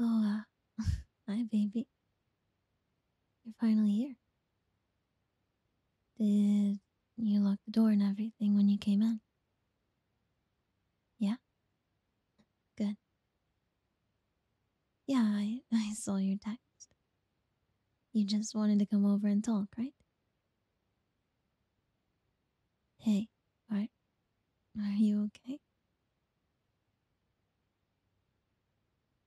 Oh, hi, uh, baby. You're finally here. Did you lock the door and everything when you came in? Yeah? Good. Yeah, I, I saw your text. You just wanted to come over and talk, right? Hey, are, are you okay?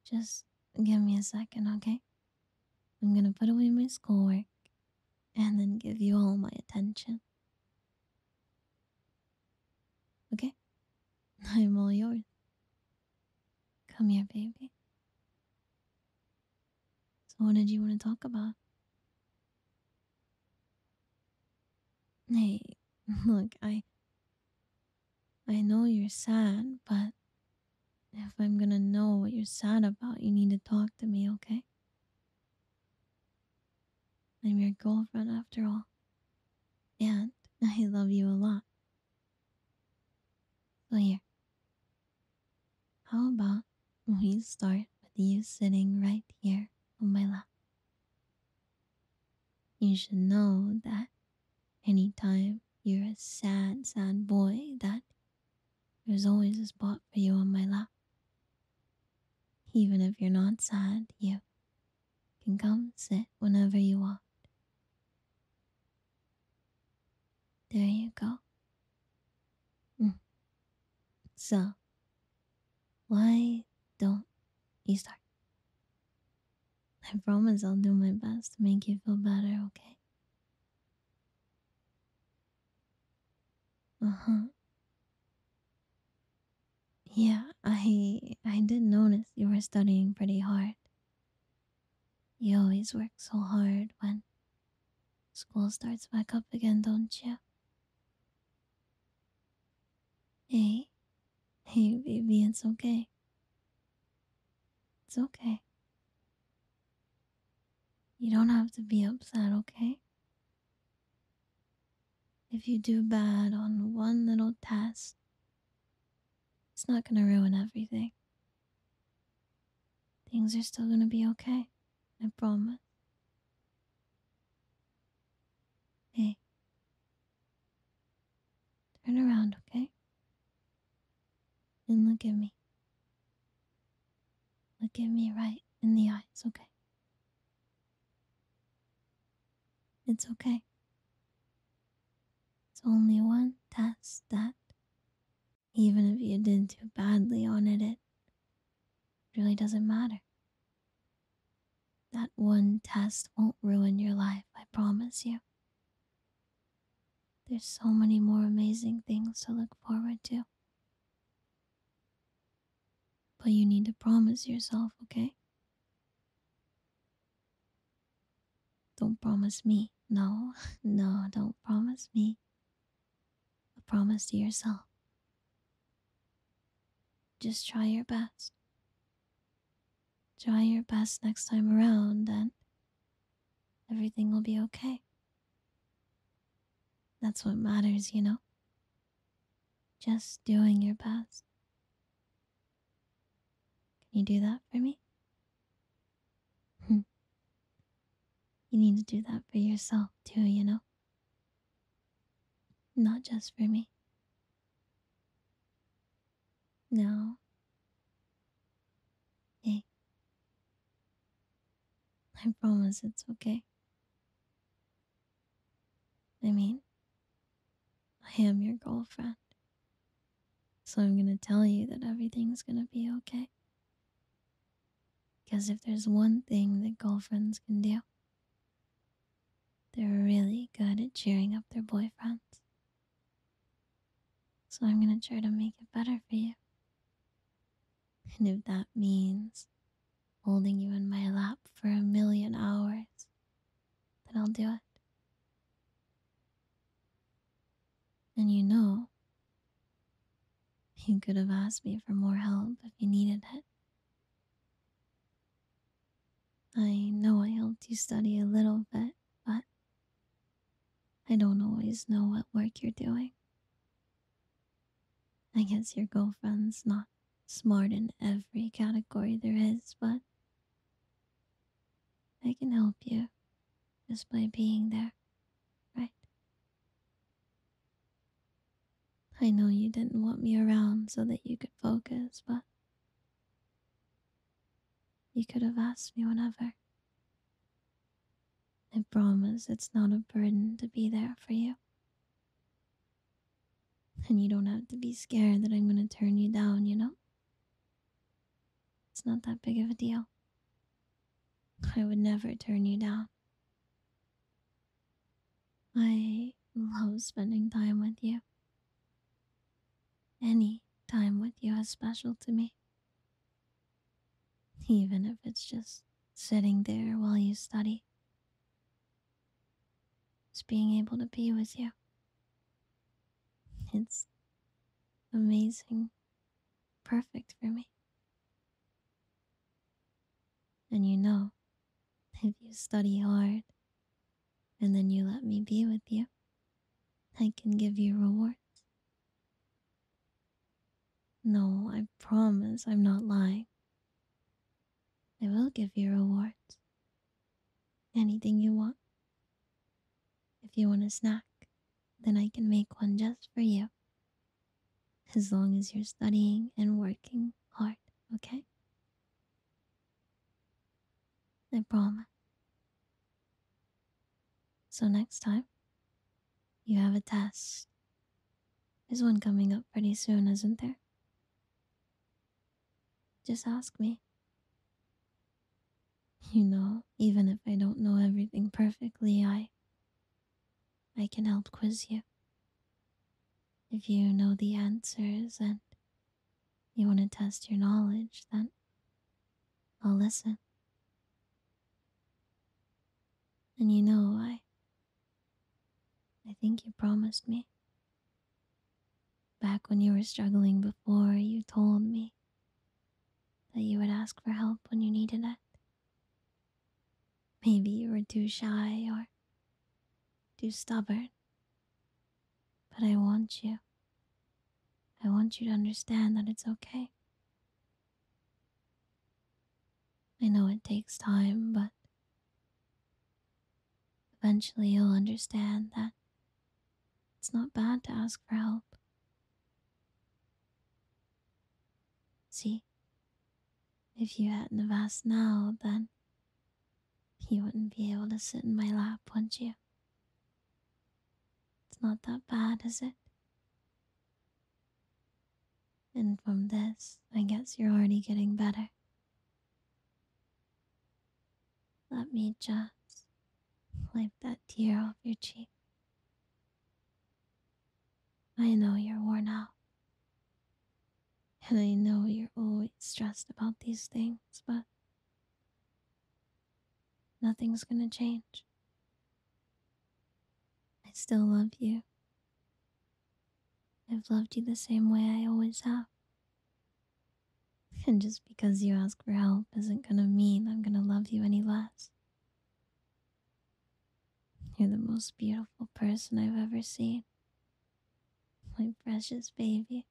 Just give me a second, okay? I'm gonna put away my schoolwork and then give you all my attention. Okay? I'm all yours. Come here, baby. So, what did you want to talk about? Hey, look, I. I know you're sad, but if I'm gonna know what you're sad about, you need to talk to me, okay? I'm your girlfriend after all. And I love you a lot. So, here. How about we start with you sitting right here on my lap? You should know that any time you're a sad, sad boy, that there's always a spot for you on my lap. Even if you're not sad, you can come sit whenever you want. There you go. Mm. So, why don't you start? I promise I'll do my best to make you feel better, okay? Uh-huh. Yeah, I I did notice you were studying pretty hard. You always work so hard when school starts back up again, don't you? Hey, hey, baby, it's okay. It's okay. You don't have to be upset, okay? If you do bad on one little test, it's not gonna ruin everything. Things are still gonna be okay. I promise. Hey. Turn around, okay? And look at me. Look at me right in the eyes, okay? It's okay. It's only one test that, even if you did too badly on it, it really doesn't matter. That one test won't ruin your life, I promise you. There's so many more amazing things to look forward to. But you need to promise yourself, okay? Don't promise me. No, no, don't promise me a promise to yourself. Just try your best. Try your best next time around, and everything will be okay. That's what matters, you know? Just doing your best. Can you do that for me? Hmm. you need to do that for yourself too, you know? Not just for me. No. hey, I promise it's okay. I mean, I am your girlfriend. So I'm gonna tell you that everything's gonna be okay. Because if there's one thing that girlfriends can do, they're really good at cheering up their boyfriends. So I'm going to try to make it better for you. And if that means holding you in my lap for a million hours, then I'll do it. And you know you could have asked me for more help if you needed it. I know I helped you study a little bit, but I don't always know what work you're doing. I guess your girlfriend's not smart in every category there is, but I can help you just by being there, right? I know you didn't want me around so that you could focus, but you could have asked me whenever. I promise it's not a burden to be there for you. And you don't have to be scared that I'm going to turn you down, you know? It's not that big of a deal. I would never turn you down. I love spending time with you. Any time with you is special to me. Even if it's just sitting there while you study. Just being able to be with you. It's amazing. Perfect for me. And you know, if you study hard and then you let me be with you, I can give you rewards. No, I promise I'm not lying. I will give you rewards. Anything you want. If you want a snack, then I can make one just for you as long as you're studying and working hard, okay? I promise. So next time, you have a test. There's one coming up pretty soon, isn't there? Just ask me. You know, even if I don't know everything perfectly, I I can help quiz you. If you know the answers and you want to test your knowledge, then I'll listen. And you know, I, I think you promised me. Back when you were struggling before, you told me that you would ask for help when you needed it. Maybe you were too shy or too stubborn. But I want you. I want you to understand that it's okay. I know it takes time, but eventually you'll understand that it's not bad to ask for help. See? If you hadn't have asked now, then you wouldn't be able to sit in my lap, wouldn't you? It's not that bad, is it? And from this, I guess you're already getting better. Let me just wipe that tear off your cheek I know you're worn out. And I know you're always stressed about these things, but nothing's gonna change. I still love you. I've loved you the same way I always have. And just because you ask for help isn't gonna mean I'm gonna love you any less. You're the most beautiful person I've ever seen. My precious baby.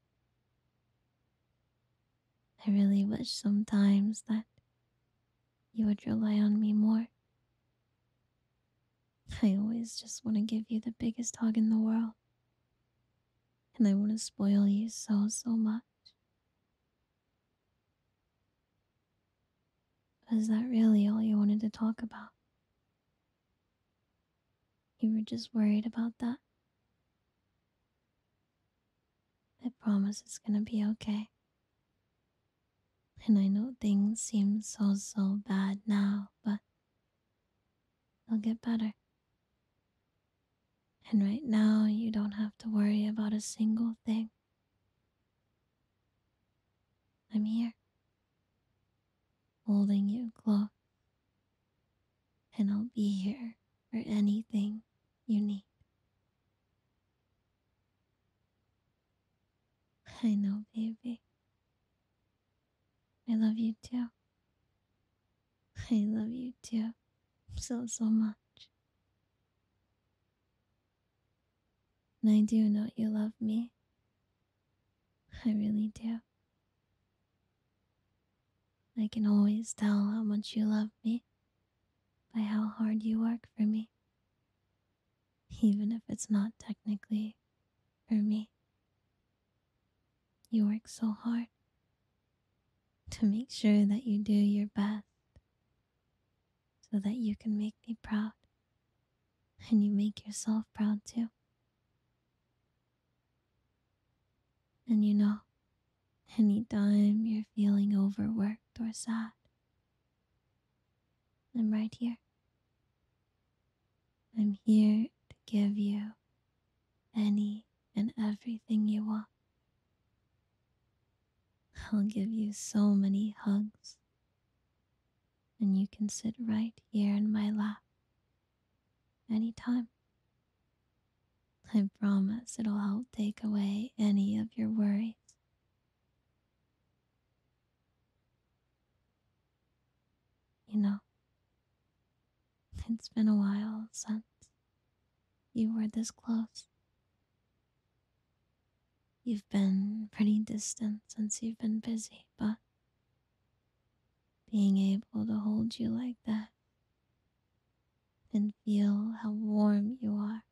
I really wish sometimes that you would rely on me more. I always just want to give you the biggest hug in the world. And I want to spoil you so, so much. Is that really all you wanted to talk about? You were just worried about that? I promise it's gonna be okay. And I know things seem so, so bad now, but they'll get better. And right now, you don't have to worry about a single thing. I'm here, holding you close, and I'll be here for anything you need. I know, baby. I love you too. I love you too so, so much. And I do know you love me. I really do. I can always tell how much you love me by how hard you work for me, even if it's not technically for me. You work so hard to make sure that you do your best so that you can make me proud and you make yourself proud too. And you know, anytime you're feeling overworked or sad, I'm right here. I'm here to give you any and everything you want. I'll give you so many hugs, and you can sit right here in my lap anytime. I promise it'll help take away any of your worries. You know, it's been a while since you were this close. You've been pretty distant since you've been busy, but being able to hold you like that and feel how warm you are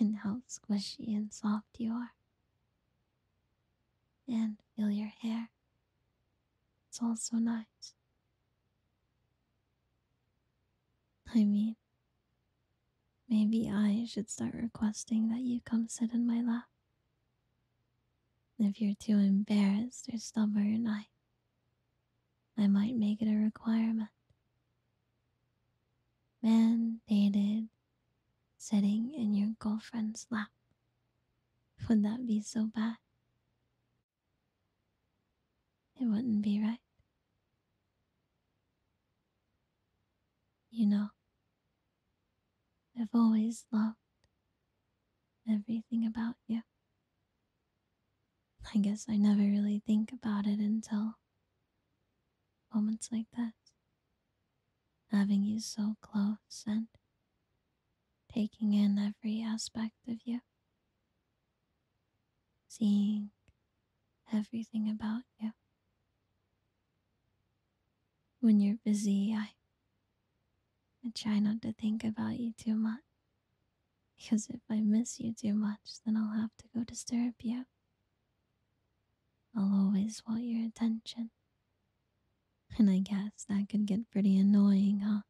and how squishy and soft you are, and feel your hair it's all so nice. I mean, maybe I should start requesting that you come sit in my lap. If you're too embarrassed or stubborn, I, I might make it a requirement. Mandated sitting in your girlfriend's lap. Would that be so bad? It wouldn't be right. You know, I've always loved everything about you. I guess I never really think about it until moments like that. Having you so close and taking in every aspect of you, seeing everything about you. When you're busy, I, I try not to think about you too much. Because if I miss you too much, then I'll have to go disturb you. I'll always want your attention. And I guess that could get pretty annoying, huh?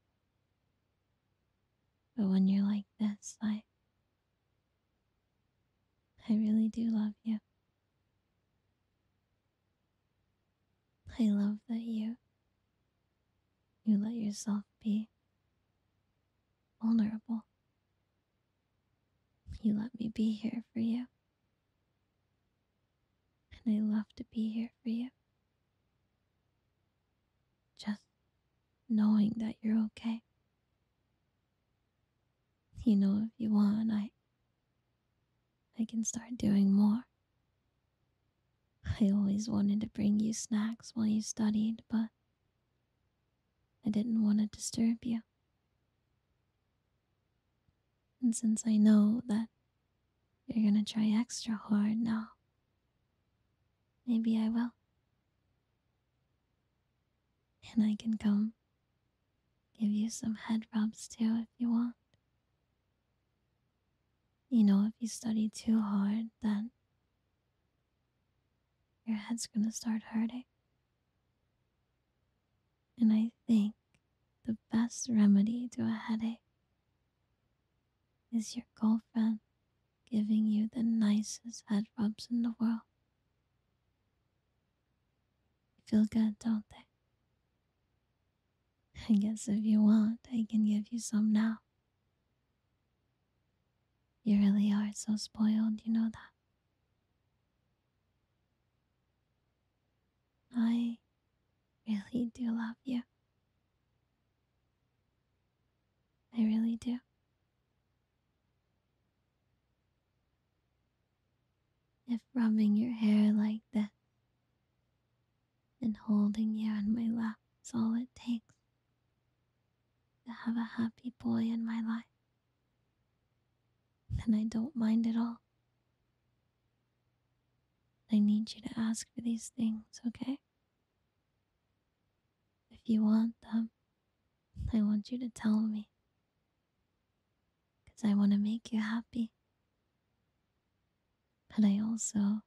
But when you're like this, I I really do love you. I love that you you let yourself be vulnerable. You let me be here for you. And I love to be here for you. Just knowing that you're okay. You know, if you want, I I can start doing more. I always wanted to bring you snacks while you studied, but I didn't want to disturb you. And since I know that you're gonna try extra hard now. Maybe I will. And I can come give you some head rubs too if you want. You know, if you study too hard, then your head's gonna start hurting. And I think the best remedy to a headache is your girlfriend giving you the nicest head rubs in the world? Feel good, don't they? I guess if you want, I can give you some now. You really are so spoiled, you know that. I really do love you. I really do. If rubbing your hair like that and holding you on my lap is all it takes to have a happy boy in my life, then I don't mind at all. I need you to ask for these things, okay? If you want them, I want you to tell me. Because I want to make you happy. But I also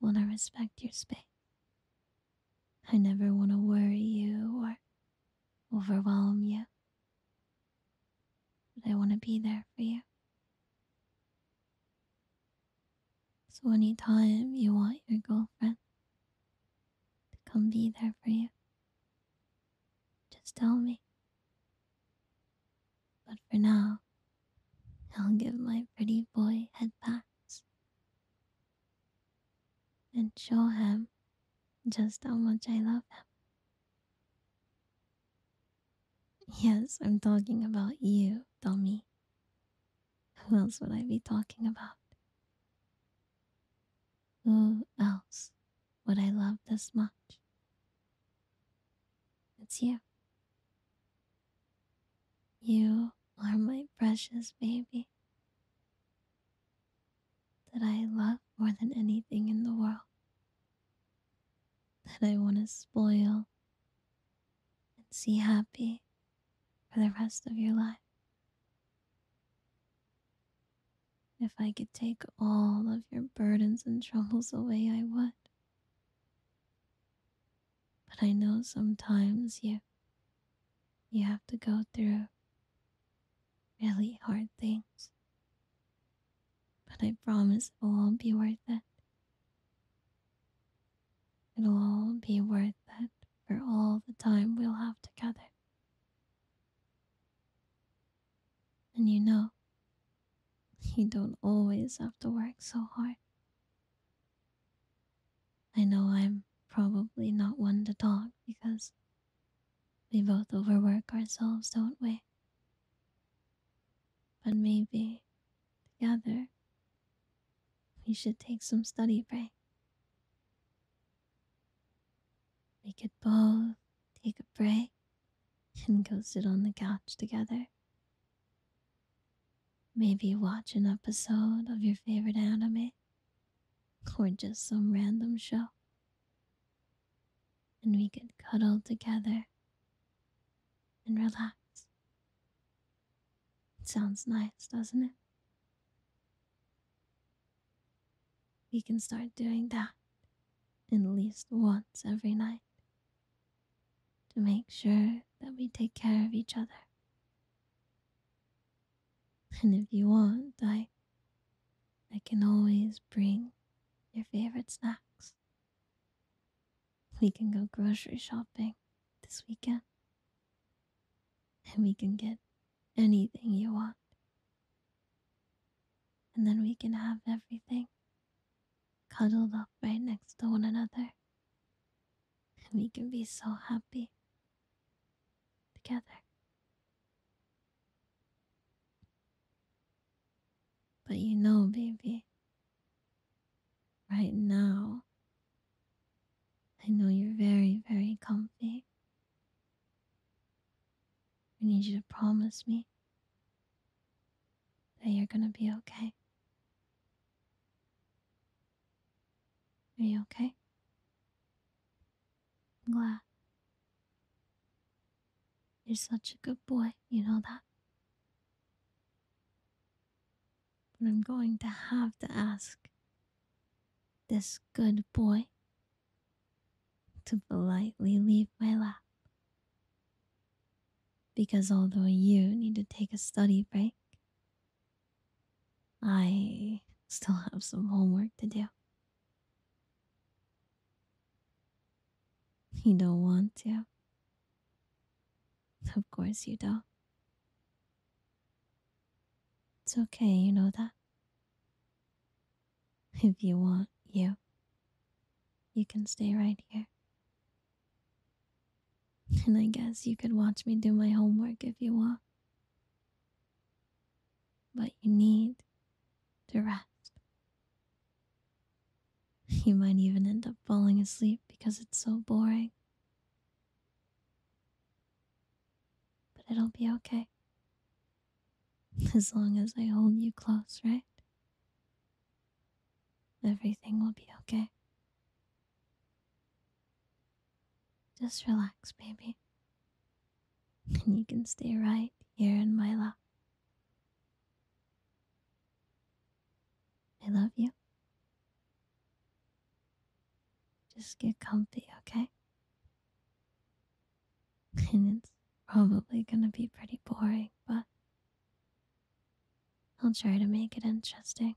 want to respect your space. I never want to worry you or overwhelm you. But I want to be there for you. So anytime you want your girlfriend to come be there for you, just tell me. But for now, I'll give my pretty boy head pats and show him just how much I love him. Yes, I'm talking about you, dummy. Who else would I be talking about? Who else would I love this much? It's you. You are my precious baby that I love more than anything in the world that I want to spoil and see happy for the rest of your life. If I could take all of your burdens and troubles away, I would. But I know sometimes you you have to go through really hard things but I promise it will all be worth it. It'll all be worth it for all the time we'll have together. And you know, you don't always have to work so hard. I know I'm probably not one to talk because we both overwork ourselves, don't we? But maybe, together, we should take some study break. We could both take a break and go sit on the couch together. Maybe watch an episode of your favorite anime or just some random show and we could cuddle together and relax. It sounds nice, doesn't it? We can start doing that at least once every night to make sure that we take care of each other. And if you want, I I can always bring your favorite snacks. We can go grocery shopping this weekend. And we can get anything you want. And then we can have everything cuddled up right next to one another. And we can be so happy together. But you know, baby, right now, I know you're very, very comfy. I need you to promise me that you're gonna be okay. Are you okay? I'm glad. You're such a good boy, you know that? But I'm going to have to ask this good boy to politely leave my lap. Because although you need to take a study break, I still have some homework to do. You don't want to? Of course you don't. It's okay, you know that. If you want, you. You can stay right here. And I guess you could watch me do my homework if you want. But you need to rest. You might even end up falling asleep because it's so boring. But it'll be okay. As long as I hold you close, right? Everything will be okay. Just relax, baby. And you can stay right here in my lap. I love you. Just get comfy, okay? And it's probably gonna be pretty boring, but I'll try to make it interesting.